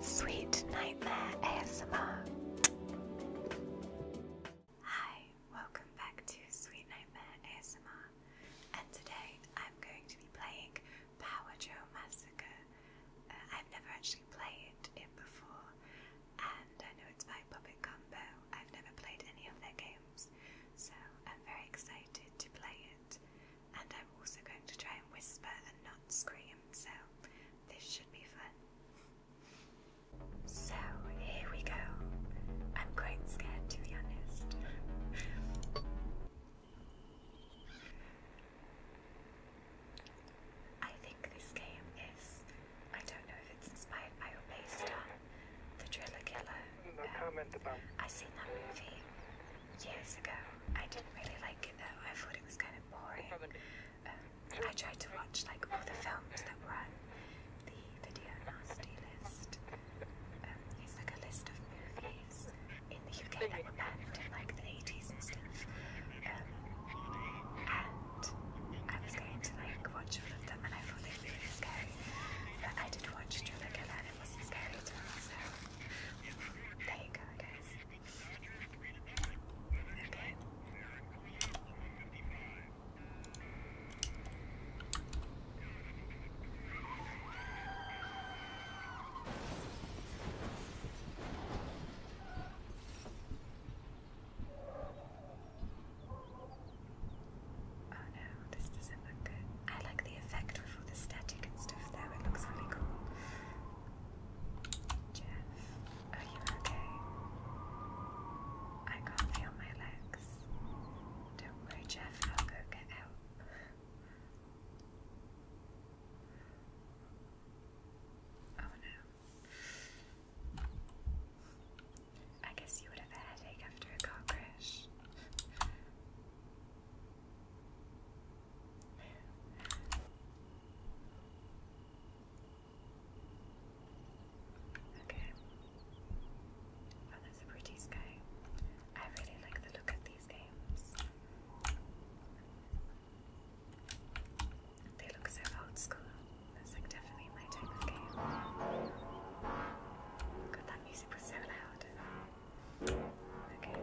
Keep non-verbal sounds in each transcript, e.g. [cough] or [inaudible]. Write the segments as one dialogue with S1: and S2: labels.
S1: Sweet Nightmare ASMR. Hi, welcome back to Sweet Nightmare ASMR, and today I'm going to be playing Power Joe Massacre. Uh, I've never actually played it before, and I know it's by Puppet Combo. I've never played any of their games, so I'm very excited to play it and I'm also going to try and whisper and not scream, so this should be fun. So here we go. I'm quite scared to be honest. I think this game is, I don't know if it's inspired by or based on The Driller Killer. No um, seen that movie years ago. I didn't really like it though. I thought it was kind of um, I tried to watch like all the films that were on the video nasty list. Um, it's like a list of movies in the UK that were banned in like the 80s and stuff. Um, and I was going to like watch all of them and I thought they were really scary. But I did watch Driller Killer and it wasn't scary at all, so there you go guys. Okay. Oh no, this doesn't look good. I like the effect with all the static and stuff there, it looks really cool. Jeff, are you okay? I can't feel my legs. Don't worry, Jeff, I'll go get help. Oh no. I guess you would have a headache after a car crash. Okay. Oh, that's a pretty sky. I really like the look of these games. They look so old school. That's like definitely my type of game. God, that music was so loud. Okay.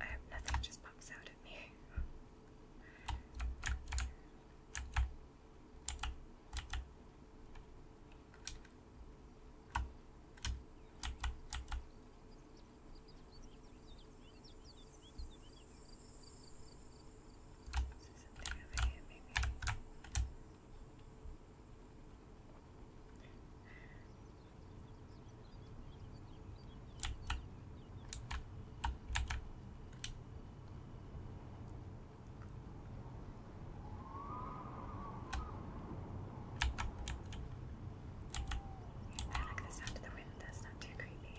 S1: I hope nothing just pops out at me. Is something over here, maybe? I like the sound of the wind, that's not too creepy.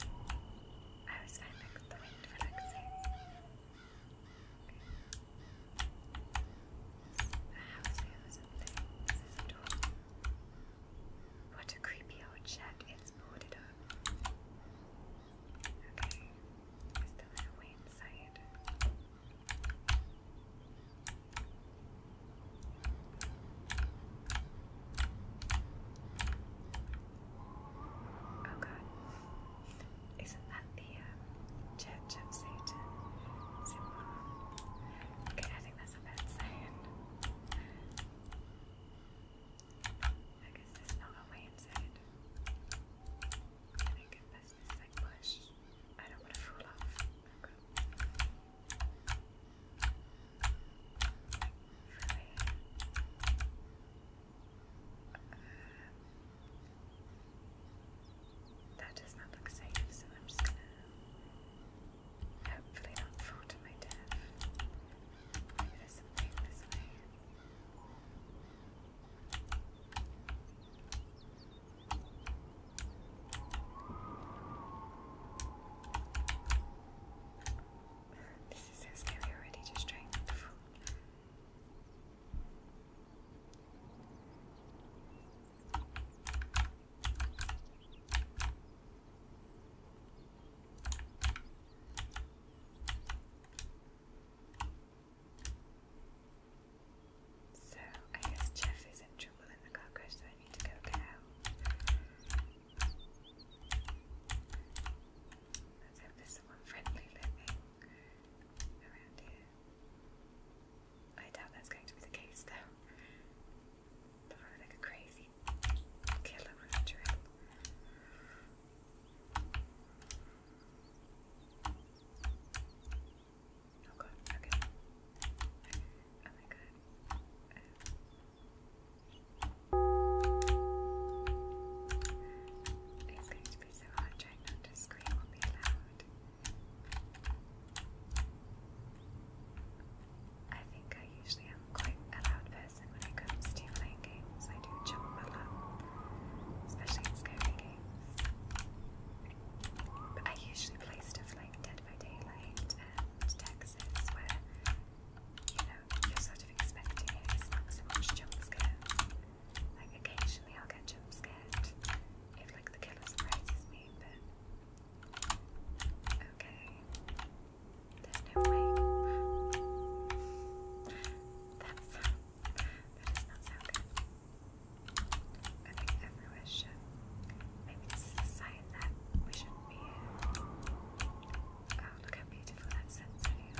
S1: I like, the wind relaxing. What a creepy old shed. It's boarded up. Okay. Is there no way inside? Oh god. Isn't that the um, Church of Satan Okay, I think that's a bad sign. I guess there's not a way inside. I think unless this is like push. I don't want to fall off. Uh, that does not look safe, so I'm just gonna hopefully not fall to my death. Maybe there's something this way. This is so scary already, just trying so I guess Jeff is in trouble in the car crash, so I need to go get out. Let's hope there's someone friendly living around here. I doubt that's going to be the case though. They're probably like a crazy killer with a oh, okay. Oh my god. Um, it's going to be so hard trying not to scream I think I usually am quite a loud person when it comes to playing games. I do jump a lot, especially in scary games. But I usually play stuff like Dead by Daylight and Texas, where you know you're sort of expecting it. so much jump scares. Like occasionally I'll get jump scared if like the killer surprises me, but Okay. There's no way. That's that does not sound good. Okay, everywhere should. Maybe this is a sign that we shouldn't be Oh, look how beautiful that sunset is.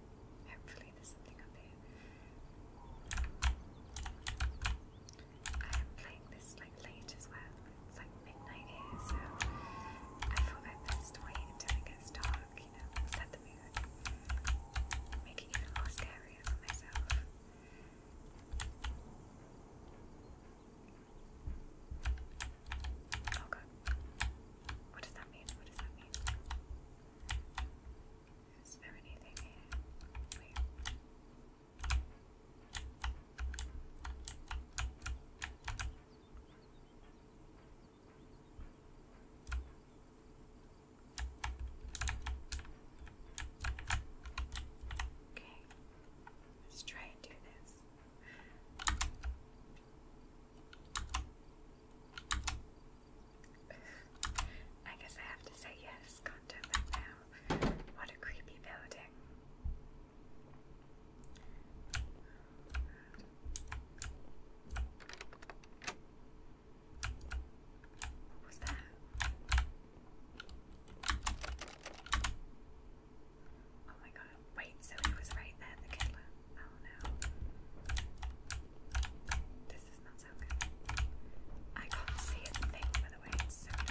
S1: Hopefully, there's something up here. I am playing this like late as well. It's like midnight here, so I thought i best wait until it dark, you know, set the mood, make it even more scarier for myself. Oh god. What does that mean? What does that mean? Is there anything Okay, let's try and do this. I guess I have to say yes, content now. What a creepy building. What was that? Oh my god, wait, so he was right there, the killer. Oh no. This does not sound good. I can't see a by the way, I can't speak.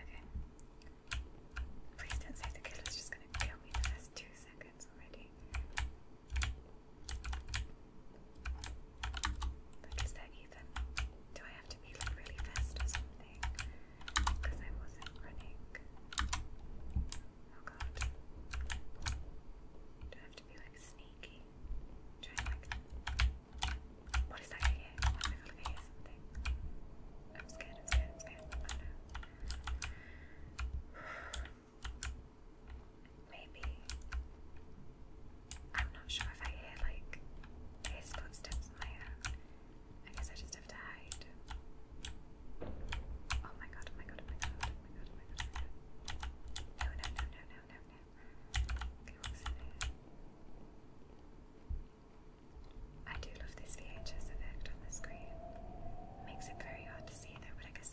S1: Okay. Please don't say the killer's just gonna kill me in the first two seconds already. Like, is that even? Do I have to be like really fast or something? Because I wasn't running. Oh god. Do I have to be like sneaky? What is that here? What if I feel like I something? I'm scared, I'm scared, I'm scared. Oh no. [sighs] Maybe. I'm not sure if I hear like footsteps in my own. I guess I just have to hide. Oh my god, oh my god, oh my god, oh my god, oh my god, oh No, no, no, no, no, no, no. what's in here? I do love this VHS effect on the screen. Makes it very hard to see though, but I guess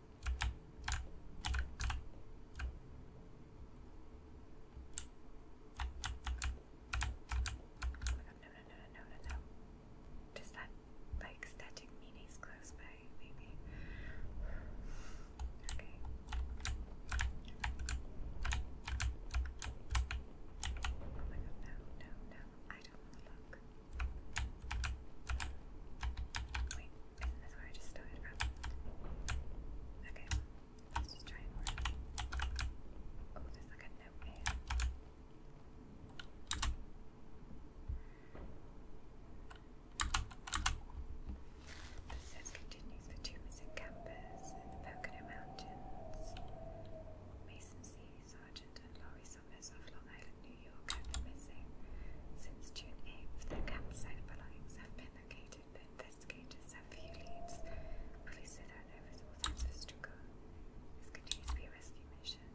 S1: god, no, no, no, no, no, no. Does that, like, static meaning's close by, maybe? Okay. Oh my god, no, no, no. I don't want to look. Wait. Okay, let's just try and Oh, there's like a note here. The continues for two missing campers in the Pocono Mountains. Mason C. Sargent and Laurie Summers of Long Island, New York. New York Since June 8th, the campsite belongings have been located, but investigators have few leads. Police said that there was struggle. This continues to be a rescue mission.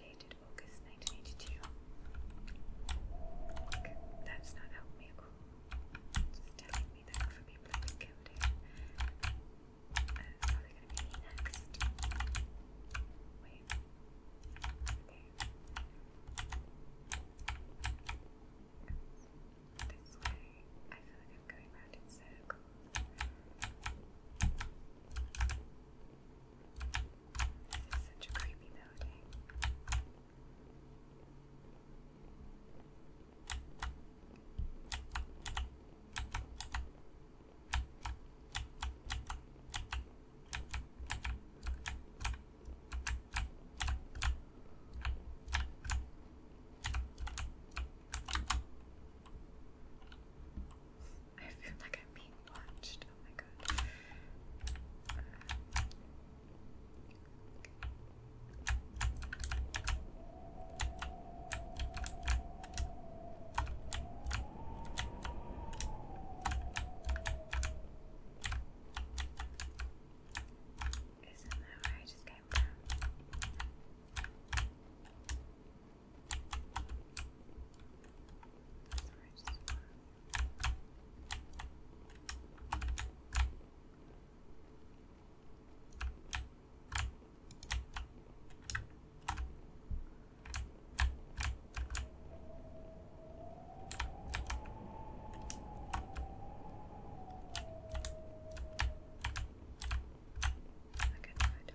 S1: Dated August 1982. that's not helping just telling me that for people have been killed here. Uh, it's probably going to be next. Wait. This way. I feel like I'm going round in circles. This is such a creepy building. I feel like I'm being watched. Oh my god. Isn't that where I just came from? I can do it. Okay.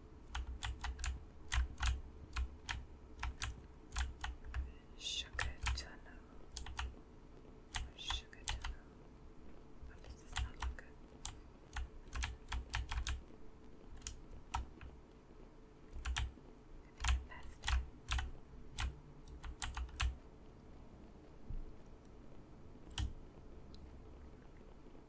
S1: Sugar tunnel. Sugar tunnel. Why does this not look good?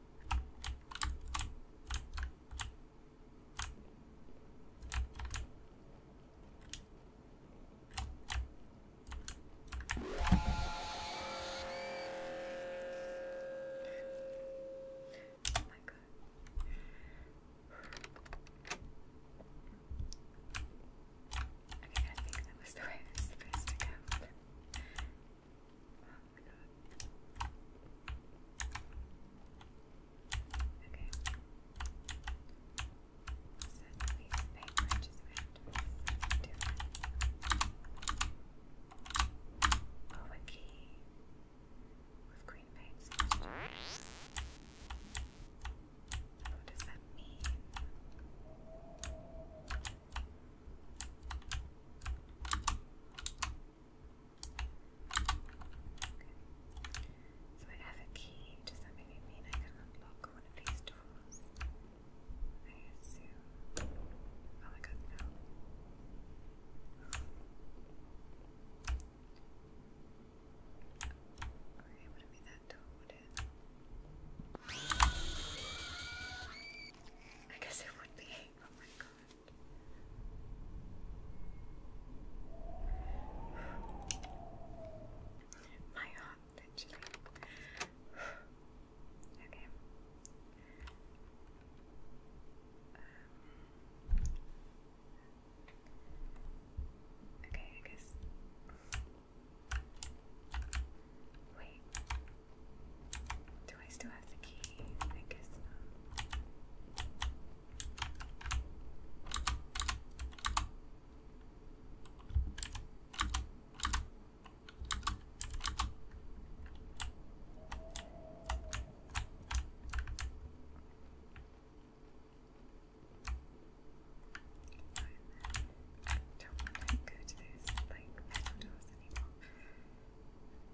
S1: Oh my god. I mean, I think that was the way it was supposed to go. Oh Okay. So the just wrapped to a key with green paint. What does that mean? So I have a key. Does that maybe mean I can unlock one of these doors? I assume. Oh my god, no. Okay, wouldn't that door, would it? I guess it would be. Oh my god. My heart, literally. Okay. Um, okay, I guess. Wait. Do I still have the key? I guess not. don't want to go to those like metal doors anymore.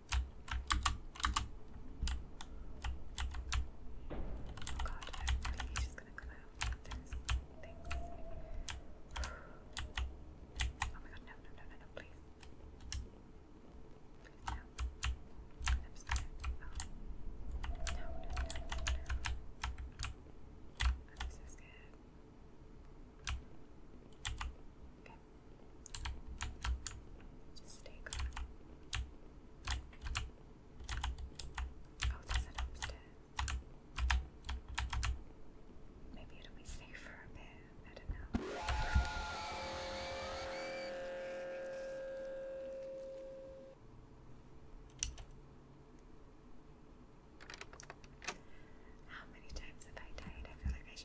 S1: Oh god, I'm just gonna come out with this. Oh my god, no, no, no, no, please. no. No, no, no, no. I'm so just stay calm. Oh, that's it upstairs. Maybe it'll be safe for a bit. I don't know. How many times have I died? I feel like I should.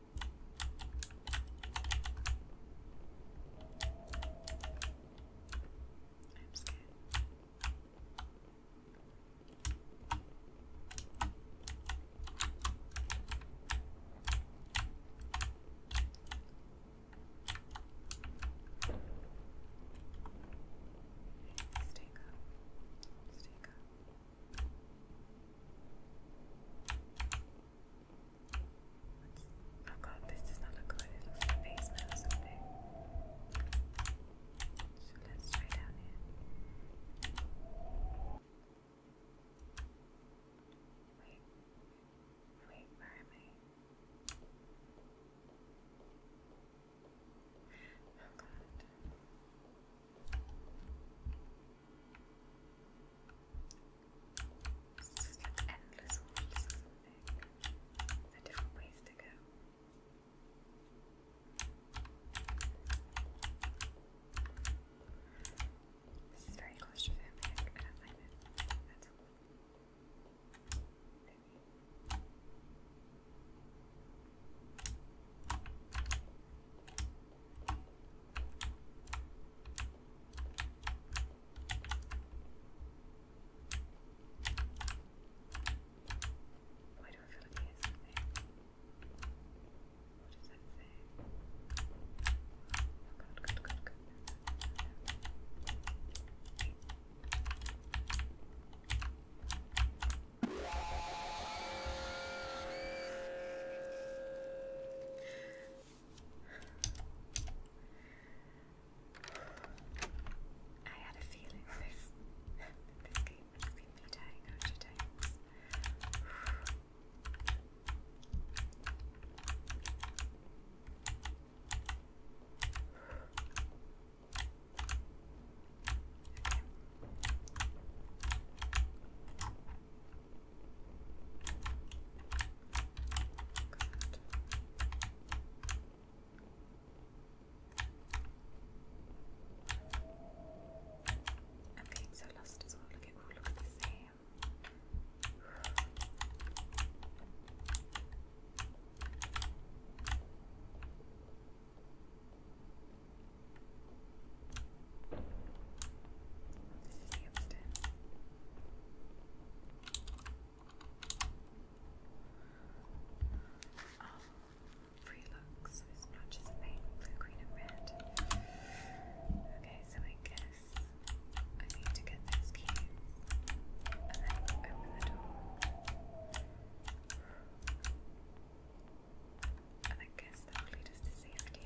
S1: I'm scared. Stay calm. Stay calm. What's, oh god, this does not look good. It looks like face mail or something. So let's try down here. Wait. Wait, where am I? Oh god. It's just endless ways to go. This is very claustrophobic. I don't like it at all. Maybe. Let's Why do I feel like here's something? What does that say? Oh god, god, god, god. I had a feeling [laughs] this this game would be me dying a hundred times. I'm getting so lost as well. Look, it all looks the same. This is um, free looks with splotches of blue, green, and red. Okay, so I guess I need to get those keys and then open the door. And I guess that will lead us safety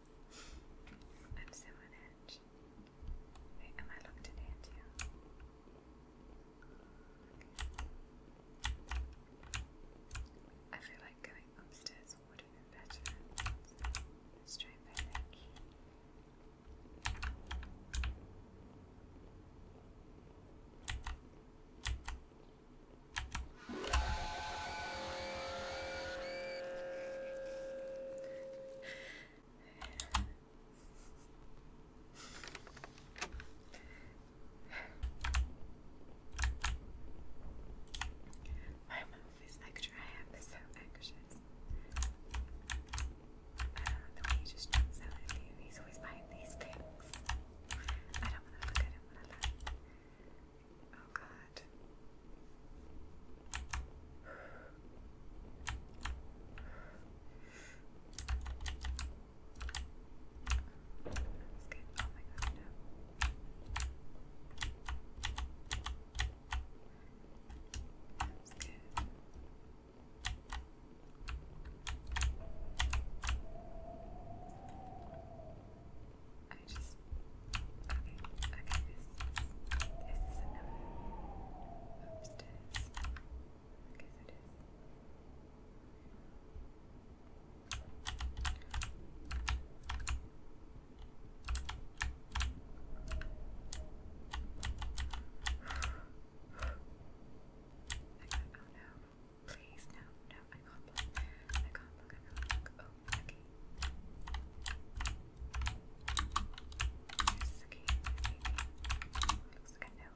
S1: I'm so on edge. am I locked in here I feel like going upstairs would have been better. So let's my mouth is extra. I am so anxious. the way he just jumps at you. He's always buying these things. I don't want to look at him when I Oh god left. Get, oh my god, no. That's good. I just okay, okay, this is another upstairs. I guess it is. I got, oh no, please, no, no, I can't look, I can't look, this game, looks like a no.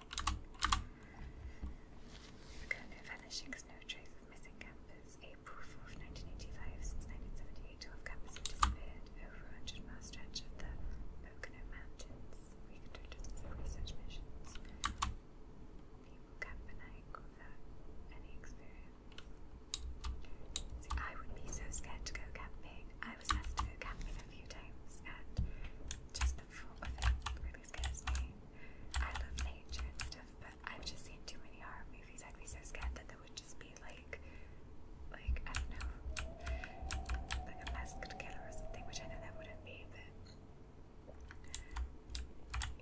S1: Look no trace of missing campus. April 4th, 1985, since 1978, 12 campus disappeared over a 100 mile stretch of the Pocono Mountains. We conducted research missions. People camp at night without any experience. I would be so scared to go camping. I was asked to go camping a few times, and just the thought of it really scares me. I love nature and stuff, but I've just seen too many horror movies. I'd be so scared that there would just be like, like I don't know, like a masked killer or something, which I know that wouldn't be, but.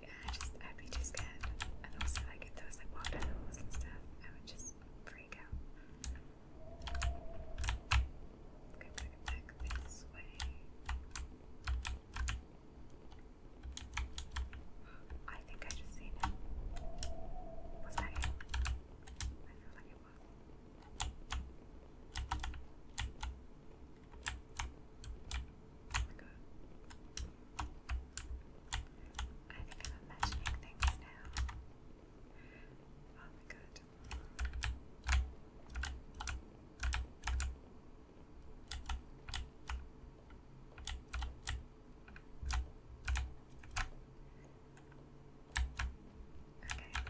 S1: Yeah, I just, would be too scared. And also, like, if there was like water holes and stuff, I would just freak out. Go back, I think I just seen him. Was that him? I feel like it was. I'm imagining things now. Oh my god. Okay.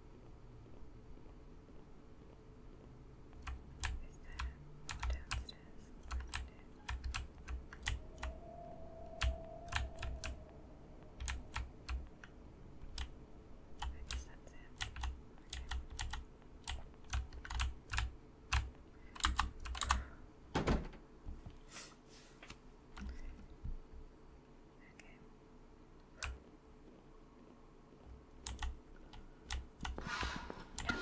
S1: Is there more downstairs? I guess that's it. Okay. Okay. Okay. Okay, that's where it was before. I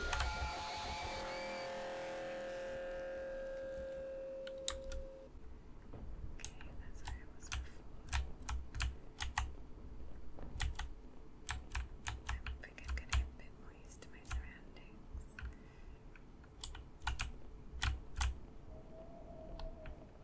S1: think I'm getting a bit more used to my surroundings. Okay.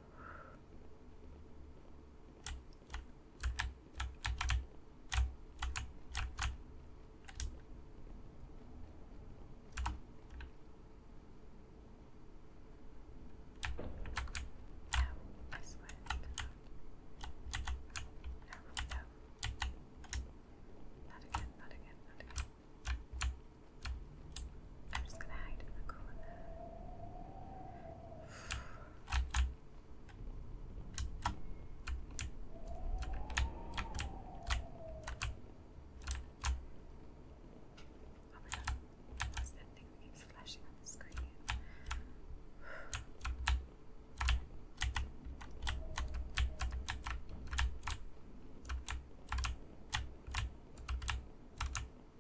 S1: No, I swear. No, no. Not again, not again, not again. I'm just gonna hide in the corner. Oh my god, what's that thing that keeps flashing on the screen?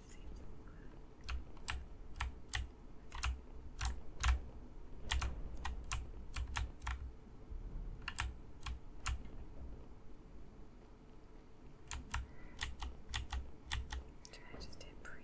S1: it just seems breathing.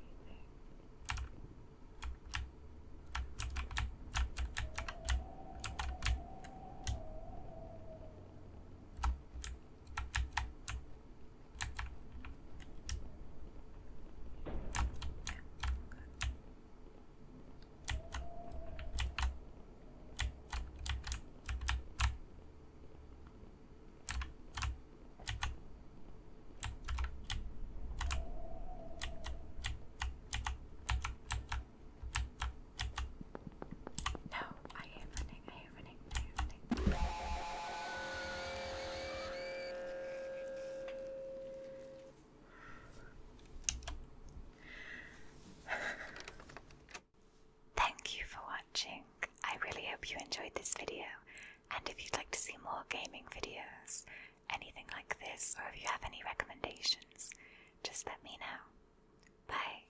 S1: No, I am running. Thank you for watching. I really hope you enjoyed this video. And if you'd like to see more gaming videos, anything like this, or if you have any recommendations, just let me know. Bye.